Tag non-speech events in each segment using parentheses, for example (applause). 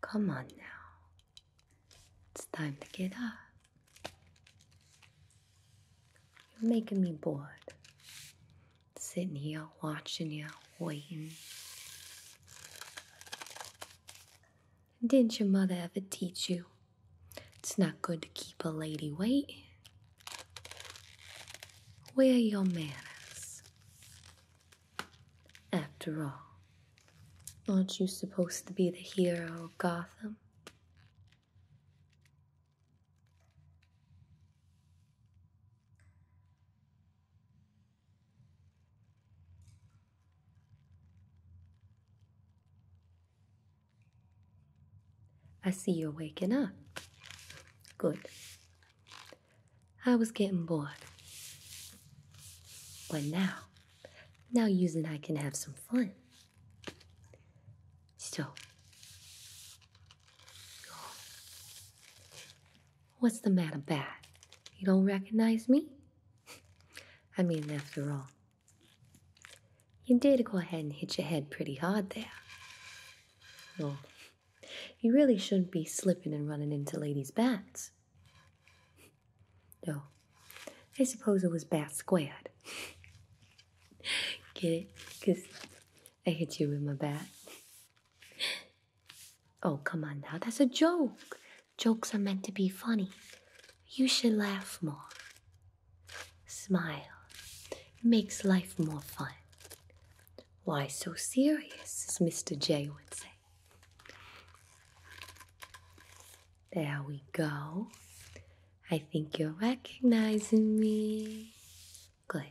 Come on now. It's time to get up. You're making me bored sitting here watching you, waiting. Didn't your mother ever teach you? It's not good to keep a lady waiting. Where your manners? After all, aren't you supposed to be the hero of Gotham? I see you're waking up. Good. I was getting bored. But now, now you and I can have some fun. Still. What's the matter, Bat? You don't recognize me? (laughs) I mean, after all, you did go ahead and hit your head pretty hard there. Well, you really shouldn't be slipping and running into ladies' bats. No, I suppose it was bat squared. (laughs) Get it? Because I hit you with my bat. Oh, come on now. That's a joke. Jokes are meant to be funny. You should laugh more. Smile. makes life more fun. Why so serious, Mr. J would say. There we go. I think you're recognizing me. Good.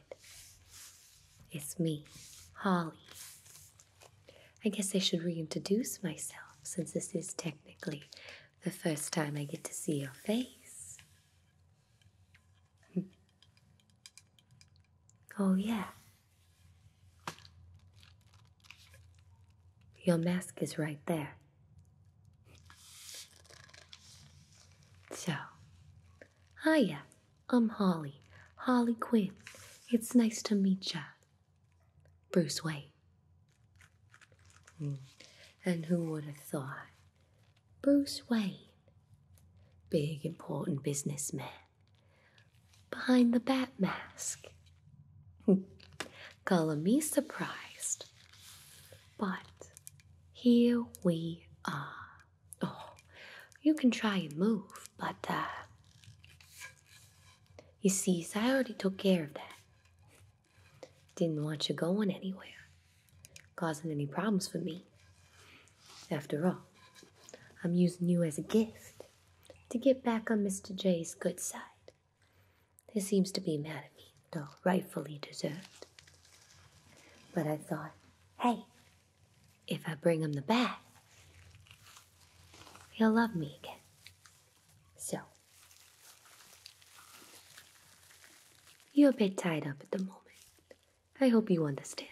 It's me, Holly. I guess I should reintroduce myself since this is technically the first time I get to see your face. Hmm. oh, yeah. Your mask is right there. So, Hiya, I'm Holly, Holly Quinn. It's nice to meet ya. Bruce Wayne. Hmm. And who would have thought? Bruce Wayne, big important businessman, behind the bat mask. (laughs) Color me surprised. But here we are. Oh, you can try and move, but uh, you see, I already took care of that. Didn't want you going anywhere, causing any problems for me. After all, I'm using you as a gift to get back on Mr. Jay's good side. He seems to be mad at me though rightfully deserved. But I thought, hey, if I bring him the bath, he'll love me again. So, you're a bit tied up at the moment. I hope you understand.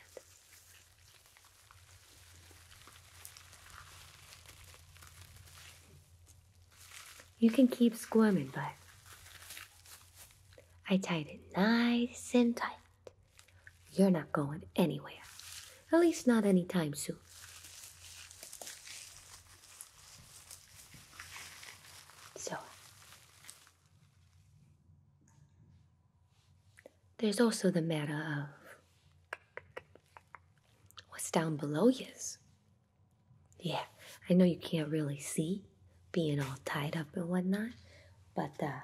You can keep squirming, but I tied it nice and tight. You're not going anywhere, at least not anytime soon. So, there's also the matter of what's down below yours. Yeah, I know you can't really see, being all tied up and whatnot. But uh,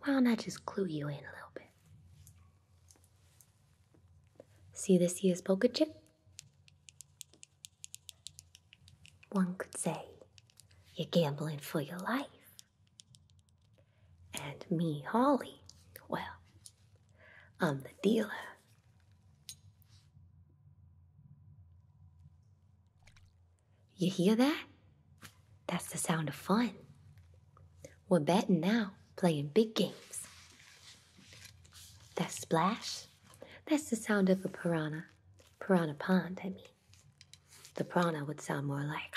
why don't I just clue you in a little bit? See this year's poker chip? One could say you're gambling for your life. And me, Holly, well, I'm the dealer. You hear that? That's the sound of fun. We're batting now, playing big games. That splash, that's the sound of a piranha. Piranha pond, I mean. The piranha would sound more like.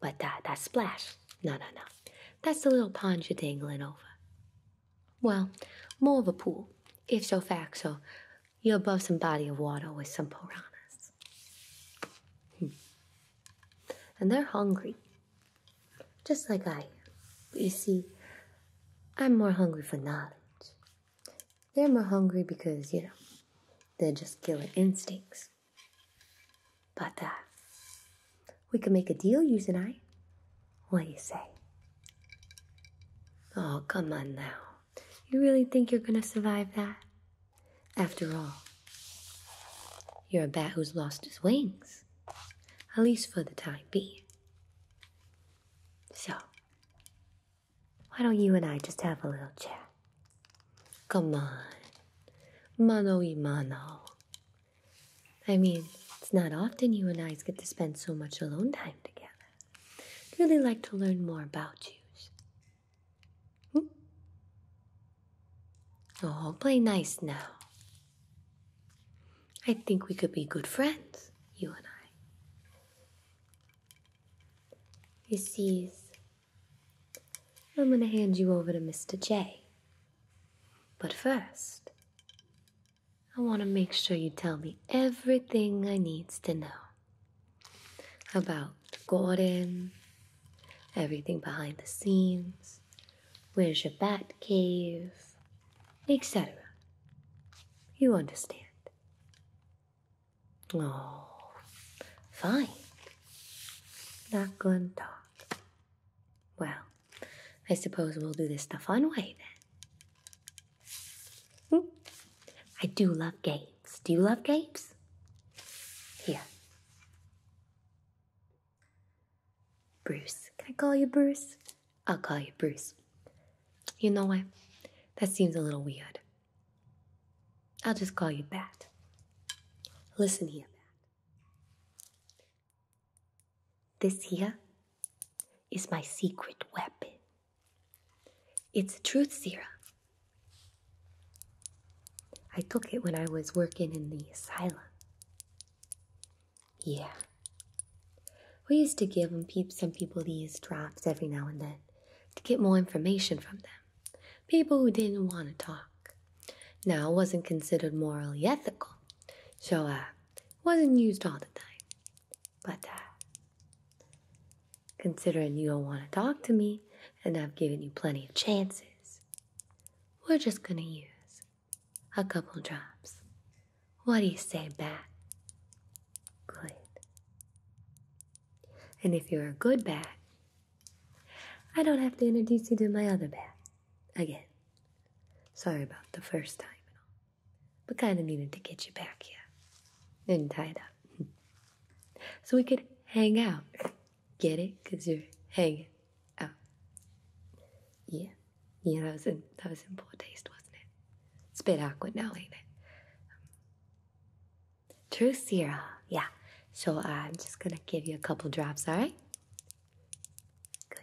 but that, that splash, no, no, no. That's the little pond you're dangling over. Well, more of a pool, if so fact so. you're above some body of water with some piranhas. Hmm. And they're hungry, just like I you see, I'm more hungry for knowledge. They're more hungry because, you know, they're just killer instincts. But uh, we can make a deal, you and I. What do you say? Oh, come on now. You really think you're gonna survive that? After all, you're a bat who's lost his wings. At least for the time being. So, why don't you and I just have a little chat? Come on. Mano y mano. I mean, it's not often you and I get to spend so much alone time together. I'd really like to learn more about you. Hmm? Oh, play nice now. I think we could be good friends, you and I. You see, I'm going to hand you over to Mr. J. But first, I want to make sure you tell me everything I needs to know about Gordon, everything behind the scenes, where's your bat cave, etc. You understand. Oh, fine. Not gonna talk. Well, I suppose we'll do this the fun way then. Hmm. I do love games. Do you love games? Here. Bruce. Can I call you Bruce? I'll call you Bruce. You know what? That seems a little weird. I'll just call you Bat. Listen here, Bat. This here is my secret weapon. It's a truth serum. I took it when I was working in the asylum. Yeah. We used to give some people these drops every now and then to get more information from them. People who didn't want to talk. Now, it wasn't considered morally ethical. So, uh, wasn't used all the time. But uh, considering you don't want to talk to me and I've given you plenty of chances, we're just gonna use a couple drops. What do you say, bat? Good. And if you're a good bat, I don't have to introduce you to my other bat again. Sorry about the first time but kind of needed to get you back here and tied up. (laughs) so we could hang out. Get it? Because you're hanging out. Yeah. Yeah, that was, in, that was in poor taste, wasn't it? It's a bit awkward now, ain't it? True Sierra. Yeah. So uh, I'm just going to give you a couple drops, all right? Good.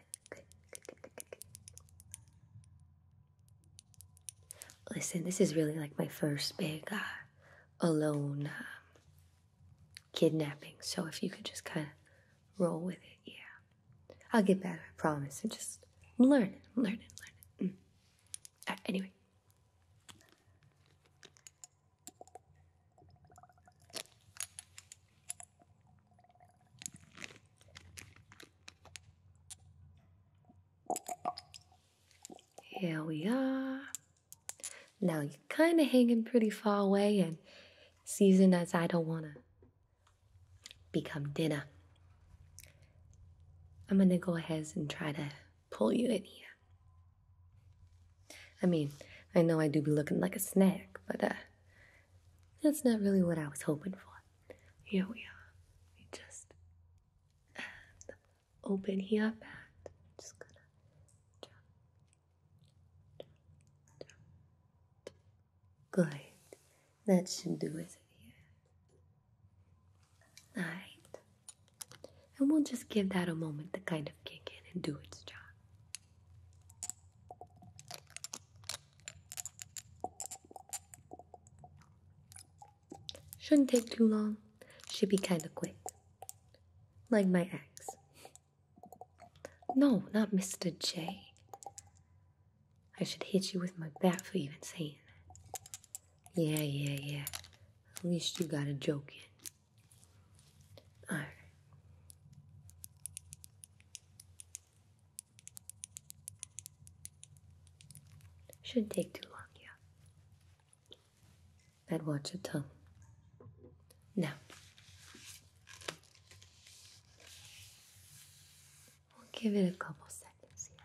Listen, this is really like my first big uh, alone um, kidnapping. So if you could just kind of roll with it, yeah. I'll get better, I promise. And just learn, learn, learn. Mm. anyway. Here we are. Now you're kind of hanging pretty far away and seasoned as I don't want to become dinner. I'm going to go ahead and try to pull you in here. I mean, I know I do be looking like a snack, but uh, that's not really what I was hoping for. Here we are. We just open here up and just gonna drop, drop, That should do it here. And we'll just give that a moment to kind of kick in and do its job. Shouldn't take too long. Should be kind of quick. Like my ex. No, not Mr. J. I should hit you with my bat for even saying that. Yeah, yeah, yeah. At least you got a joke in. Alright. Shouldn't take too long, yeah. I'd watch your tongue. Now. We'll give it a couple seconds here.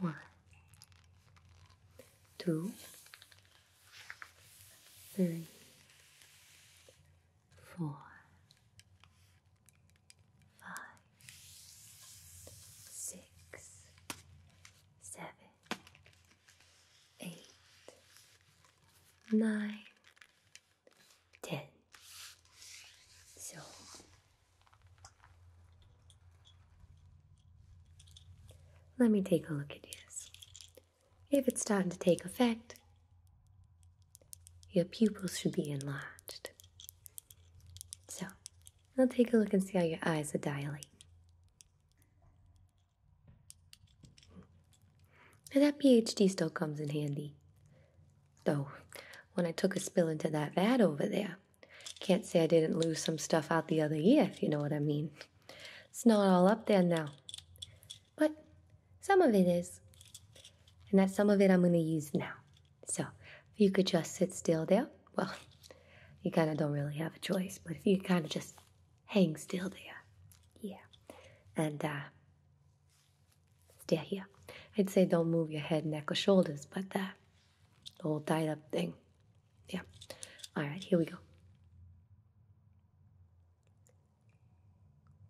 One, two, three, four, five, six, seven, eight, nine, ten. So let me take a look at this. If it's starting to take effect, your pupils should be enlarged. So, I'll take a look and see how your eyes are dilating. Now that PhD still comes in handy. Though, when I took a spill into that vat over there, can't say I didn't lose some stuff out the other year, if you know what I mean. It's not all up there now. But some of it is. And that some of it I'm going to use now. So if you could just sit still there, well, (laughs) you kind of don't really have a choice, but if you kind of just hang still there, yeah, and uh, stare here. I'd say don't move your head, neck, or shoulders, but uh, the tied up thing, yeah. All right, here we go.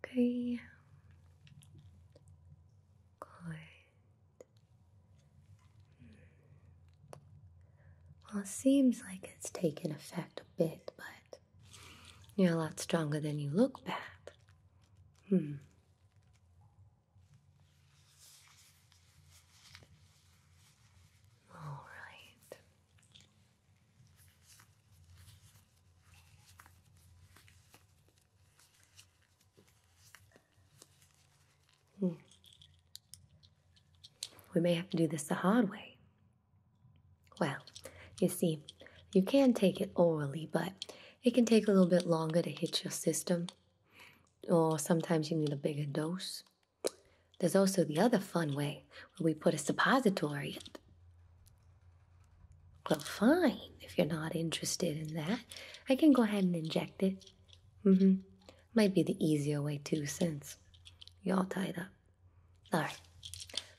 Okay. Good. Well, it seems like it's taken effect a bit, but you're a lot stronger than you look, Bab. Hmm. All right. Hmm. We may have to do this the hard way. Well, you see, you can take it orally, but it can take a little bit longer to hit your system, or sometimes you need a bigger dose. There's also the other fun way where we put a suppository Well, fine, if you're not interested in that, I can go ahead and inject it. Mm hmm. Might be the easier way, too, since you're all tied up. All right,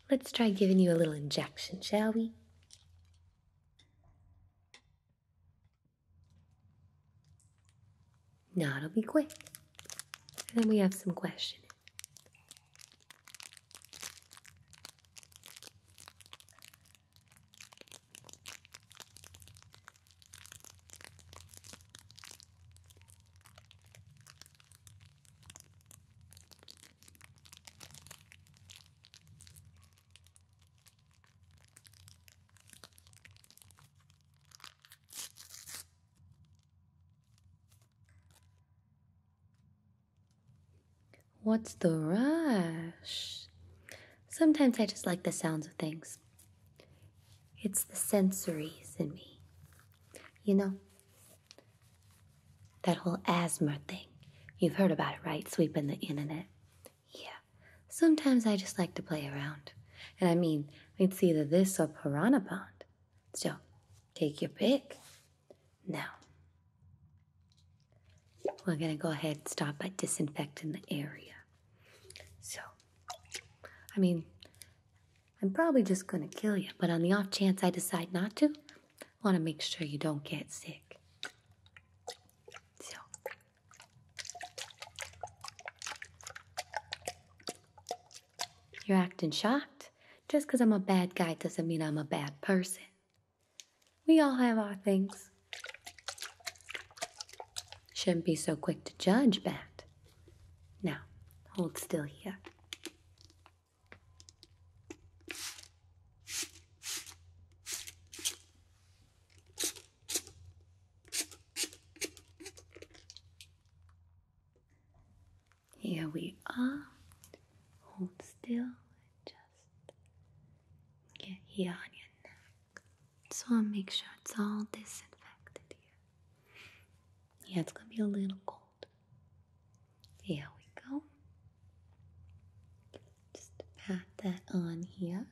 let's try giving you a little injection, shall we? Now it'll be quick. And then we have some questioning. What's the rush? Sometimes I just like the sounds of things. It's the sensories in me. You know, that whole asthma thing. You've heard about it, right? Sweeping the internet. Yeah, sometimes I just like to play around. And I mean, it's either this or Piranha Pond. So, take your pick. Now, we're gonna go ahead and start by disinfecting the area. So, I mean, I'm probably just gonna kill you, but on the off chance I decide not to, I wanna make sure you don't get sick. So, you're acting shocked. Just because I'm a bad guy doesn't mean I'm a bad person. We all have our things. Shouldn't be so quick to judge, Bat. Now, hold still here. Here we are. Hold still. Just get here on your neck. Just want to make sure it's all disinfected here. Yeah, it's going to be a little cold. Here we go. Just pat that on here.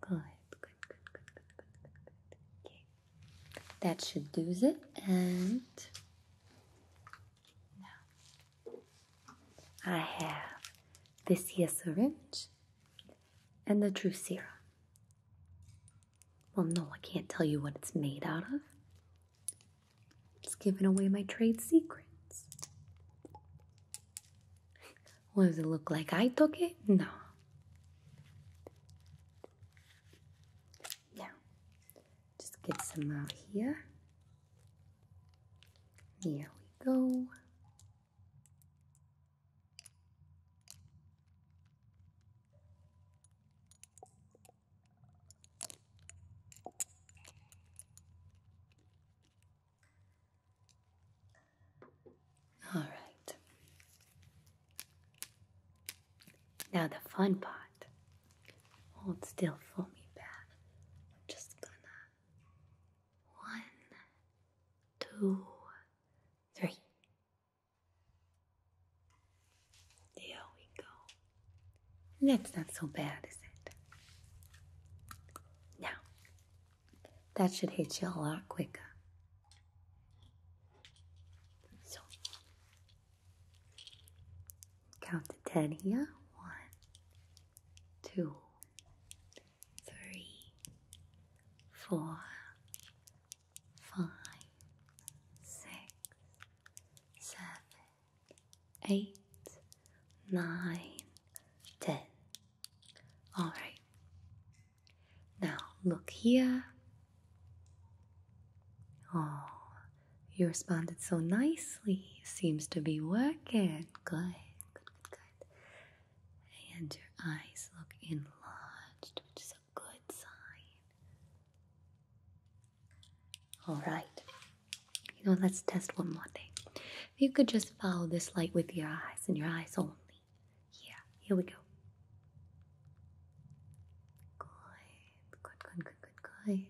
Good, good, good, good, good, good, good, good. Okay. That should do it. And now I have this here syringe and the true serum. Well, no, I can't tell you what it's made out of. It's giving away my trade secrets. What does it look like? I took it? No. Yeah. Just get some out here. There we go. All right. Now the fun part. Won't still for me, bad. I'm just gonna. One, two, three. There we go. That's not so bad, is it? Now, that should hit you a lot quicker. So, count to ten here. One, two, three, four, five, six, seven, eight, nine, ten. All right. Now look here. Oh, you responded so nicely. Seems to be working. Good, good, good, good. And your eyes look enlarged, which is a good sign. All right. You know, let's test one more thing. If you could just follow this light with your eyes and your eyes only. Yeah, here we go. Good, good, good, good, good,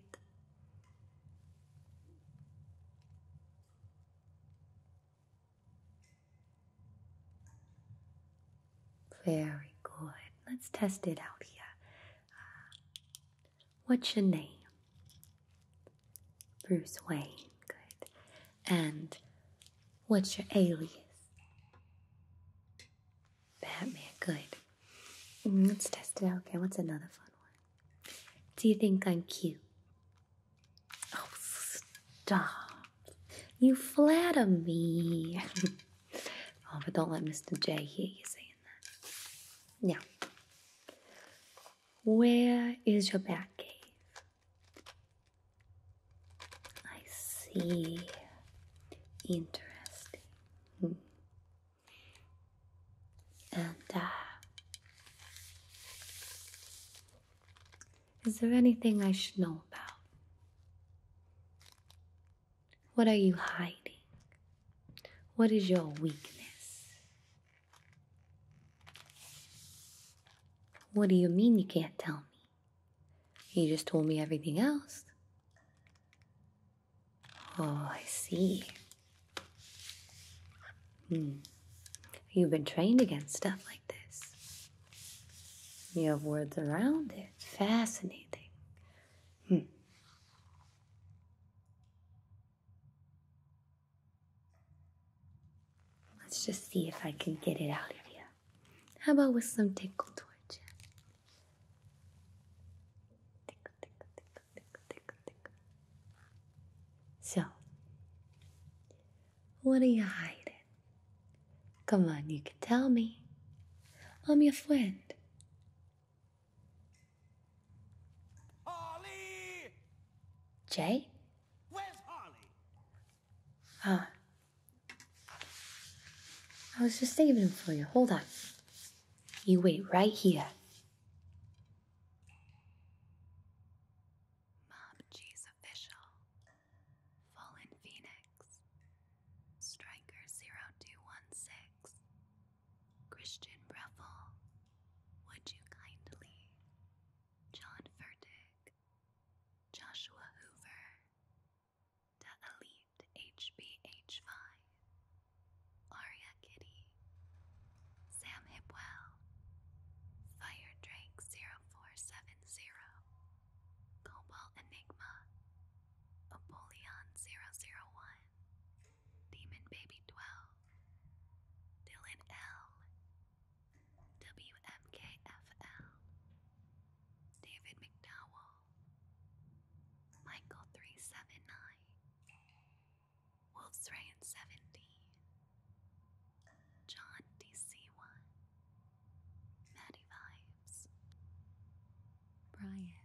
Very good. Let's test it out here. Uh, what's your name? Bruce Wayne, good. And what's your alias? Batman, good. Mm, let's test it out. Okay, what's another fun one? Do you think I'm cute? Oh, stop. You flatter me. (laughs) oh, but don't let Mr. J hear you saying that. Yeah. Where is your back cave? I see. Interesting. Hmm. And uh, is there anything I should know about? What are you hiding? What is your weakness? What do you mean you can't tell me? You just told me everything else. Oh, I see. Hmm. You've been trained against stuff like this. You have words around it. Fascinating. Hmm. Let's just see if I can get it out of you. How about with some tickle towards Tickle, tickle, tickle, tickle, tickle, tickle. So, what are you hiding? Come on, you can tell me. I'm your friend. Jay? Where's Ah. I was just saving him for you. Hold on. You wait right here. Mob G's official. Fallen Phoenix. Striker 0216. Christian Breffel. Would you kindly John Furtick, Joshua Hoover, Da Elite HBH5, Aria Kitty, Sam Hipwell, Fire Drake 0470, Cobalt Enigma, Apollyon 001, Demon Baby 12, Dylan L. WMKFL. David McDowell. Michael 379. Wolf's Ryan 17. John DC1. Maddie Vibes. Brian.